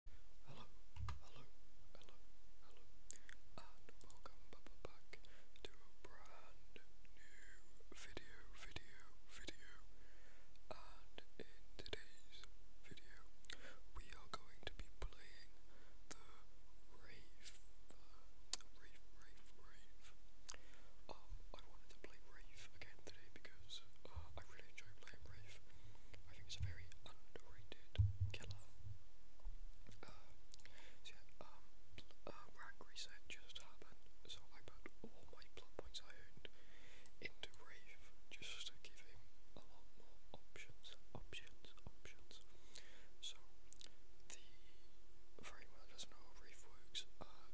Hello, hello, hello, hello, and welcome back to a brand new video, video, video. And in today's video, we are going to be playing the Rave, Rave, Rave, Rave. Um, I wanted to play Rave again today because because uh, oh, I really enjoy playing Wraith. I think it's a very underrated killer. Uh, so yeah, um, uh, rank reset just happened, so I put all my plot points I owned into Wraith just to give him a lot more options, options, options. So, the framework doesn't know how Wraith works. Uh,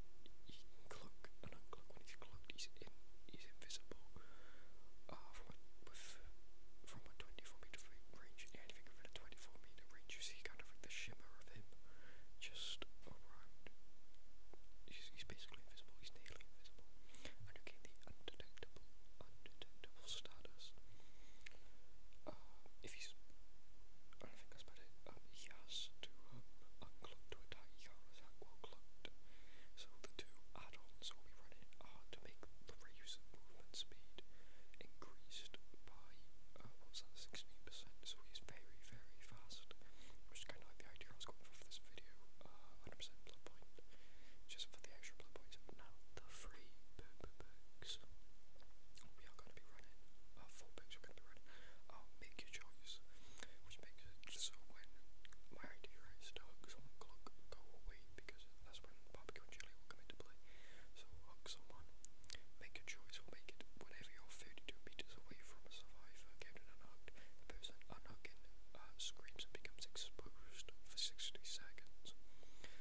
he can and uncloak. When he's cloaked, he's in, invisible uh, from, a, from a 24 meter range. Yeah, anything within a 24 meter range, you see kind of like the shimmer of him just He's, basically invisible, he's nearly invisible. And you gain the undetectable, undetectable status. Uh, if he's, I think that's about it. Um, to um, uncloak to attack. He So the two add-ons will be running to make the race movement speed increased by uh, what's that, 16%. So he's very, very fast, which is kind of the idea I was going for for this video. 100% uh, blood point, just for the extra blood points. Now the free perks we are going to be running. four perks we're going to be running. Uh, make your job noise, which makes it so when my idea is to hook someone clock go away because that's when the barbecue and chili will come into play. So hook someone, make a choice or make it whenever you're 32 meters away from a survivor getting unhooked, the person unhooking uh, screams and becomes exposed for 60 seconds.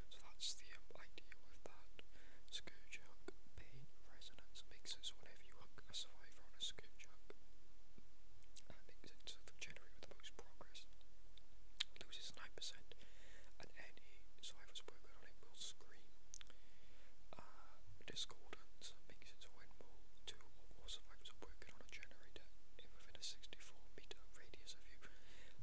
So that's the um, idea with that. Scourge hook, pain, resonance makes it because whenever you hug a survivor on a scoop jump, that makes it the January with the most progress loses 9%, and any survivors working on it will scream. Uh, discordance makes its win more two or more survivors are working on a generator if within a 64 meter radius of you.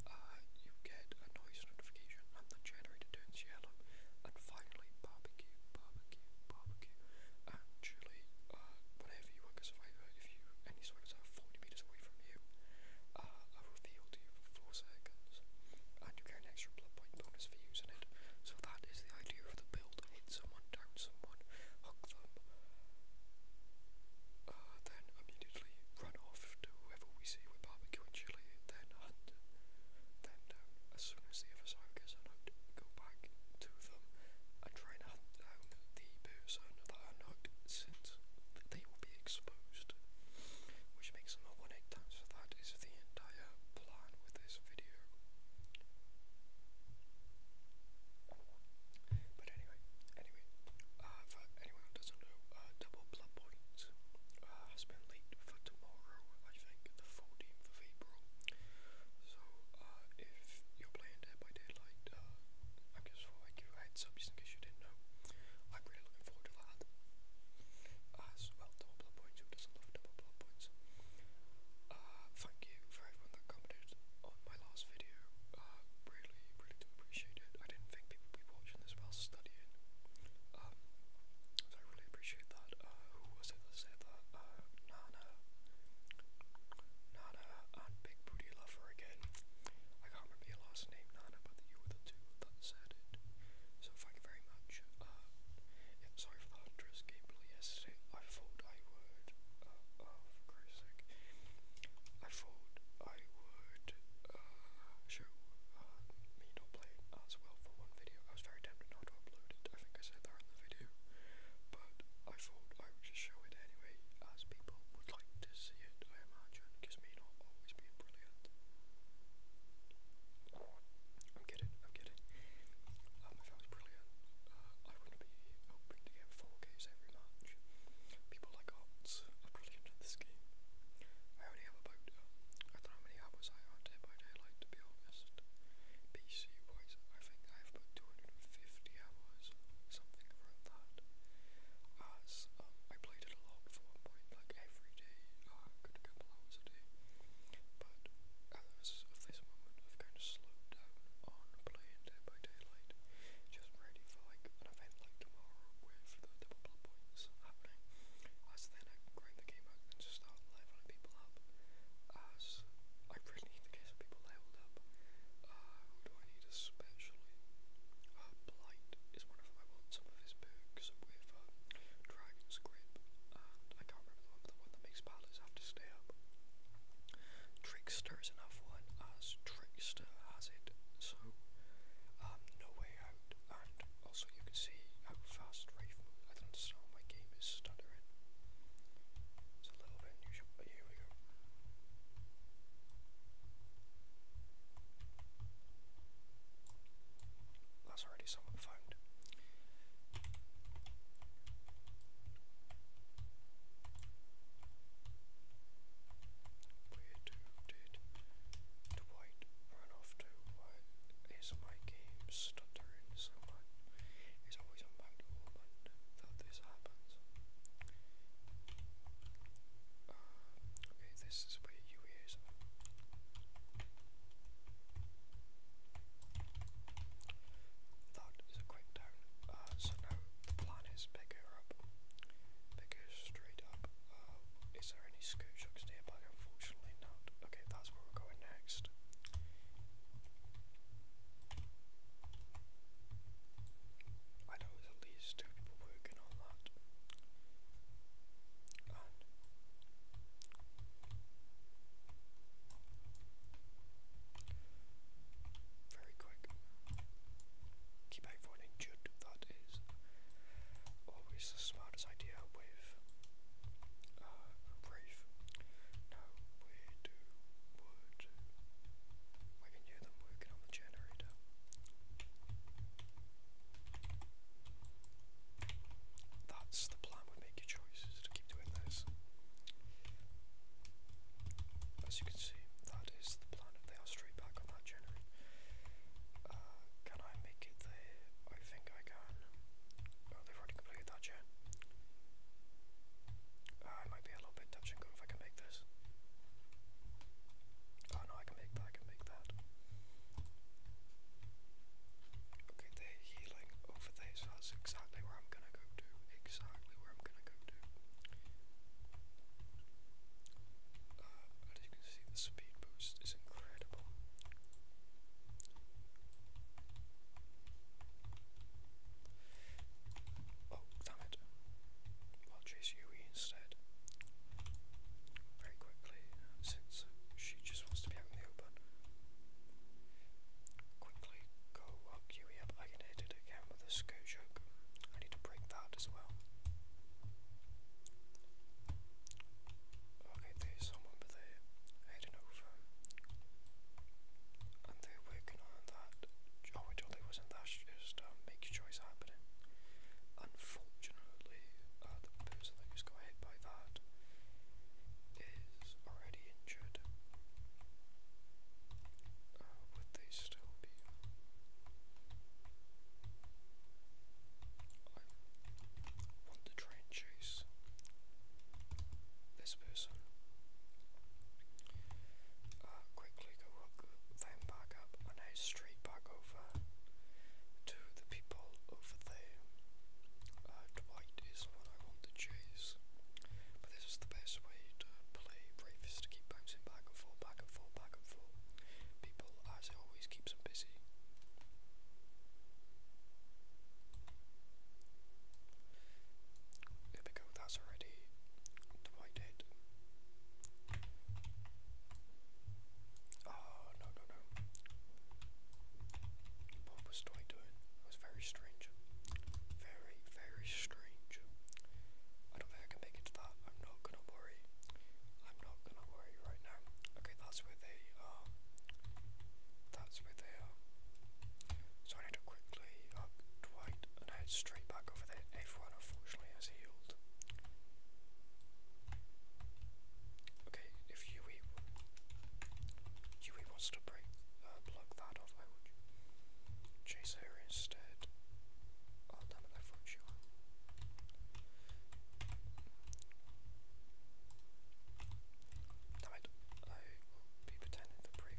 Uh, you get a noise notification and the generator turns yellow. And finally, barbecue, barbecue, barbecue. Actually, uh, whenever you work as a if you any survivors are 40 meters away from you, uh, are revealed to you for 4 seconds, and you get an extra blood point bonus for using it. So that is the idea of the build: hit someone, down someone, hook them, uh, then immediately run off to whoever we see with barbecue and chili, then hunt, then uh, as soon as the other side gets unhooked. Go back to them and try and hunt down the person that unhooked since they will be exposed. Which makes them a one 8 times. so that is the entire plan with this video. But anyway, anyway, uh, anyone doesn't know, uh, Double Blood Point uh, has been late for tomorrow, I think, the 14th of April. So, if you're playing Dead by Daylight, uh, I just thought i you a heads in case you didn't know. I'm really looking forward to that. As well, double blood points, who doesn't love double blood points? thank you for everyone that commented on my last video. really, really appreciate it. I didn't think people would be watching this while studying. Um, really appreciate that. Uh, who was it that said that? Uh, Nana. Nana and Big Booty Lover again. I can't remember your last name, Nana, but you were the two that said it. So thank you very much. Uh, yeah, sorry for the hundredth gameplay yesterday. I thought I would. Uh, oh, for Christ's sake. I thought I would show me not playing as well for one video. I was very tempted not to upload it. I think I said that the video, but I thought I would just show it anyway, as people would like to see it, I imagine, because me not always being brilliant. I'm kidding, I'm kidding. Um, if I was brilliant, uh, I would be hoping to get 4Ks every match. People like Ots are brilliant at this game. I only have about, uh, I do how many hours I had day by to be honest. PC wise, I think I've put 250 hours, something around that. As um, I played it a lot for like every day, uh, a couple hours a day. But as of this moment, I've kind of slowed down on playing Dead by Daylight, just ready for like an event like tomorrow with the double points happening. As then uh, I really need to get some people leveled up. Uh, who do I need especially? Uh, blight is one of them. I with um, Dragon's Grip, I can't remember the one, the one that makes paladins have to stay up. Trickster is another one, as Trickster has it. So, um, No Way Out and also you can see how fast Rafe I don't understand why my game is stuttering. It's a little bit unusual, here we go. That's already someone found. Where did Dwight run off to? Why my game stopped uh, okay, this is where you hear That is a quick down. Uh, so now the plan is pick up, pick straight up. Uh, is there any scoot shocks nearby? Unfortunately not. Okay, that's where we're going next. I know at least two people working on that. very quick. Keep out injured, that is always the smartest idea uh, No, we do wood. We can hear them working on the generator. That's the plan with Make Your Choice, to keep doing this. As you can see, that is the plan. They are straight back on that generator. Uh, can I make it there? I think I can can. Oh, already completed that yet. Uh, I might be a little bit touch and if I can make this. Oh no, I can make that, I can make that. Okay, they're healing over there, so that's exactly where I'm gonna go to. Exactly where I'm gonna go to. Uh, as you can see, the speed boost is incredible. Oh, damn it. I'll chase Yui instead. Very quickly, since she just wants to be out in the Quickly go up Yui up. I can hit it again with a skirt I need to break that as well. Okay, there's someone but they heading over. And they're working on that. Oh, it only wasn't that, just um, make your choice happening. Unfortunately, uh, the person that just got hit by that is already injured. Uh, would they still be? I want to try and chase this person. Uh, quickly go back up, and I straight back over to the people over there. Uh, is what I want to chase, but this is the best way to play Brave is to keep bouncing back and forth, back and forth, back and forth. People as always keeps him busy. There we go, that's already the white Oh, no, no, no. What was Dwight doing? It was very strange. Very, very strange. I don't think I can make it to that. I'm not not gonna worry. I'm not gonna worry right now. Okay, that's where they are. That's where they are. So I need to quickly up uh, Dwight and head straight back over there. Everyone unfortunately has healed. Okay, if Yui, Yui wants to break, uh, block that off, I would chase her instead. Oh damn it, I thought she Damn it, I will be pretending to break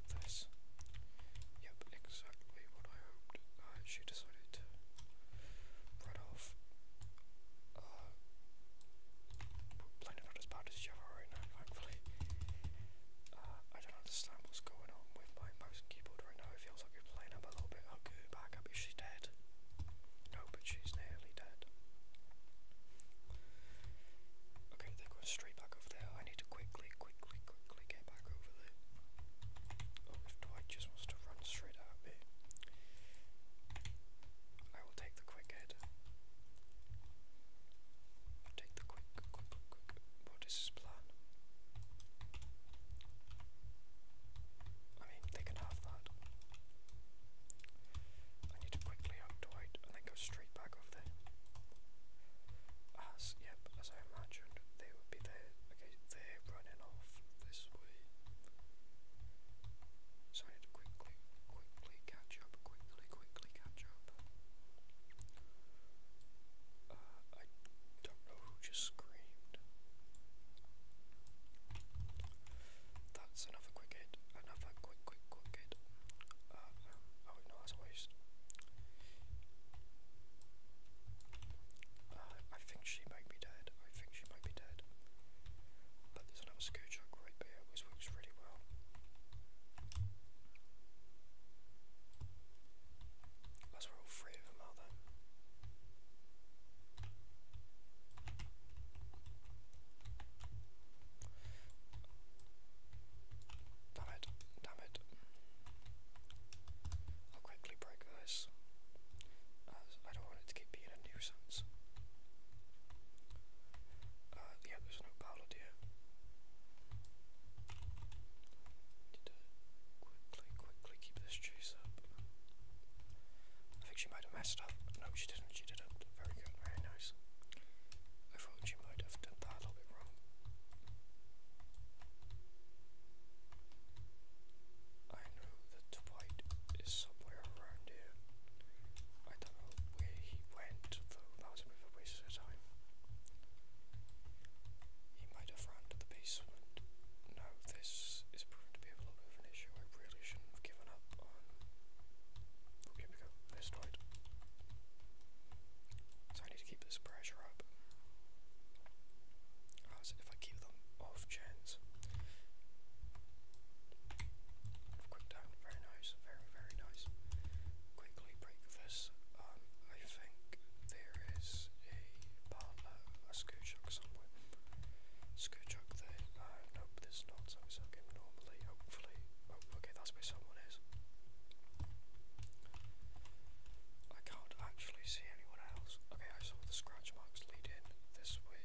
Yep, exactly what I hoped. Uh, she decided to run off. Uh, playing as bad as Java right now, thankfully. Uh, I don't understand what's going on with my mouse and keyboard right now feels like we're playing up a little bit. Okay, back up. Is she dead? No, but she's nearly dead. Okay, they're going straight back over there. I need to quickly, quickly, quickly get back over there. Oh, Dwight just wants to run straight at me, I will take the quick head. Take the quick, quick, quick. What is his plan? I mean, they can have that. I need to quickly up and then go straight back over there. As, yep, as I imagined, they would be there. Okay, they're running off this way. So I need to quickly, quickly catch up, quickly, quickly catch up. Uh, I don't know who just screamed. That's another quick hit. Another quick, quick, quick hit. Uh, um, oh no, that's a waste. Uh, I think she might be dead. I think she might be dead. But there's another Scoochuck right there, which works really well. Unless we're all three of them out there. I'll quickly break this. I don't want it to keep being a nuisance. Uh, yeah, there's no pallet here quickly, quickly keep this chase up? I think she might have messed up. No, she didn't. She did it. Very good. Very nice. I thought she might have done that a little bit wrong. I know that White is somewhere around here. I don't know where he went, that was a bit of a waste of time. He might have run to the basement. No, this is proven to be a little bit of an issue. I really shouldn't have given up on. Okay, we go. Asteroid. So I need to keep this pressure up. Oh, so if I keep them off chance. Quick down, very nice, very, very nice. Quick typically breakfast. Um, I think there is a partner, uh, a Scootchuck somewhere. Scootchuck there. Uh, nope, there's not, so it's okay normally. Hopefully. Oh, okay, that's where someone is. I can't actually see anyone else. Okay, I saw the scratch marks leading in this way.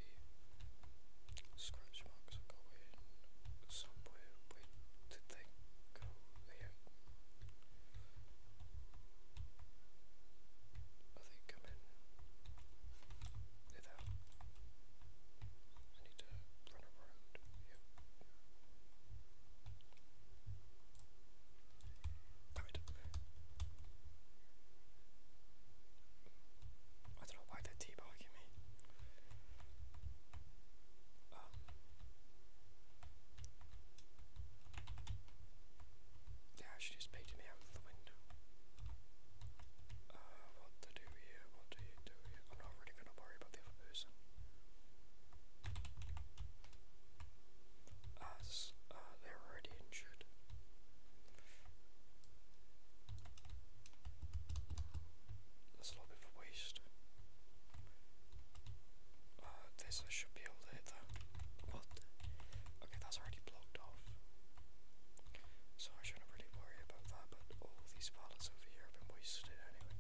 Scratch marks going somewhere. Wait, did yeah. I think I'm in I need to run around. Yep. Damn it. I don't know why they're teabagging me. Um, yeah, she just picked me out of the window. Uh, what to do here? What do you do here? I'm not really gonna worry about the other person. As uh, they're already injured. That's a little bit of waste. Oh, this I should be able to hit that. What? Okay, that's already blocked off. So I shouldn't really worry about that, but all these pallets over here have been wasted anyway.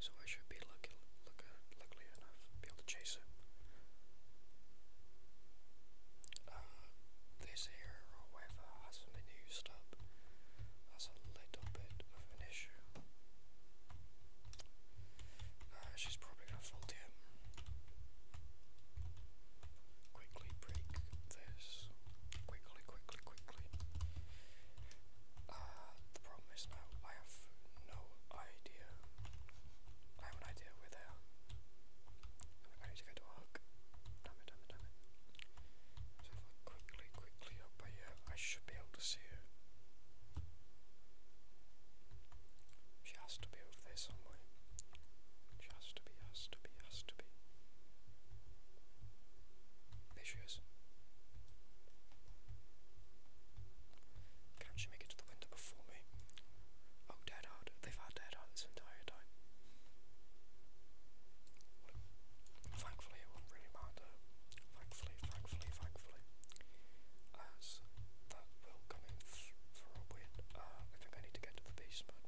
So I should be lucky, luckily enough be able to chase it. Uh, this here, however, has been used up. That's a little bit of an issue. Uh, she's probably going to fall down. Quickly break this. Quickly, quickly, quickly. Uh, the problem is now I have no idea. I have an idea where they are. I need to go to a Damn it, damn it, damn it. So if quickly, quickly up here. I should be able to see her. She has to be over there somewhere. She has to be, has to be, has to be. There she is. Can't she make it to the window before me? Oh, Deadheart. They've had Deadheart this entire time. Thankfully, it wouldn't really matter. Thankfully, thankfully, thankfully. As that will come in for a win. Uh, I think I need to get to the basement.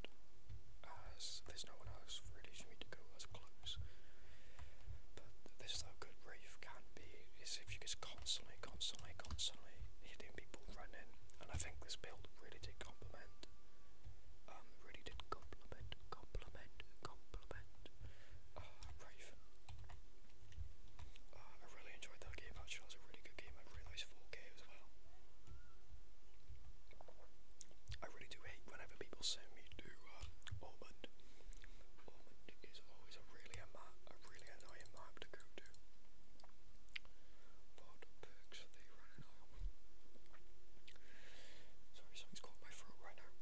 As there's no one else really for me to go as close. But this though good Wraith can be if you just constantly, constantly, constantly hitting people running. And I think this build really did complement um, really did compliment, compliment, compliment uh, I really enjoyed that game actually, that was a really good game, I realised 4K as well. I really do hate whenever people send me to um, Ormond. Ormond is always a really, a, a really annoying map to go to. What perks they running on? Sorry, something's caught my throat right now.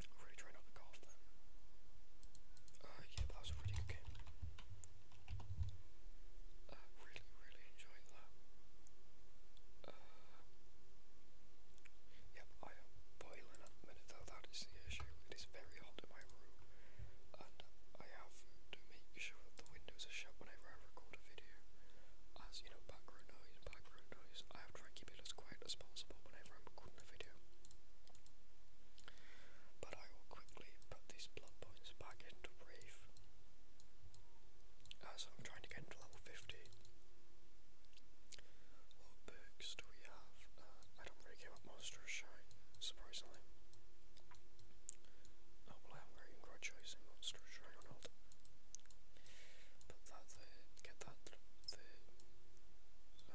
I'm really trying not to cough then. Uh, yeah, that was a really good game. Uh, I really, really enjoyed that. Uh, yep, I am boiling at the minute though, that is the issue. It is very hot in my room, and I have to make sure that the windows are shut whenever I record a video, as background noise, background noise. I have tried to keep it as quiet as possible whenever I'm recording a video. But I will quickly put these blood points back into Brave. As I'm trying to get into level 50. What perks do we have? Uh, I don't really care about Monster Shine, surprisingly. Oh, not really got choice in Monster Shrine on but that's it. Get that. that. And I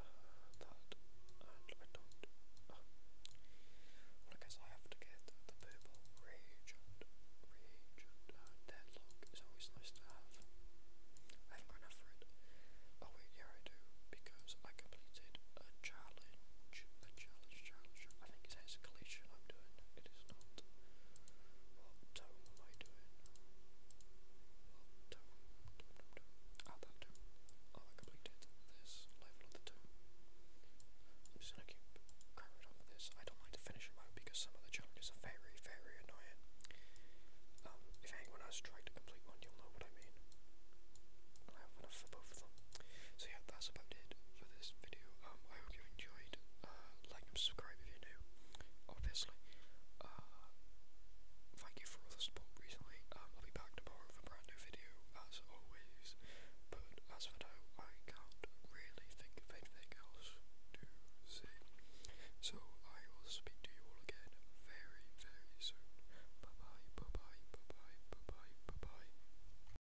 don't. well, I guess I have to get the purple rage rage and uh, deadlock. It's always nice to have. I enough for it. Oh wait, yeah I do because I completed a challenge, a challenge, challenge, I think it says collision I'm doing. It is not. What tone am I doing? What tone? Ah, that tone. Oh, I completed this level of the tone. I'm just going on with this. I don't like the finishing mode because some of the challenges are very, very annoying. Um, if anyone has tried to complete one, you'll know what I mean. I have enough for both of them. So yeah, that's about it for this video. Um, I hope you enjoyed, uh, like and subscribe if you're new, obviously. Uh, thank you for all the support recently. Um, I'll be back tomorrow with a brand new video, as always. But as for now, I can't really think of anything else to say. So I will speak to you all again very, very soon. Bye bye, bye bye, bye bye, bye bye, bye bye.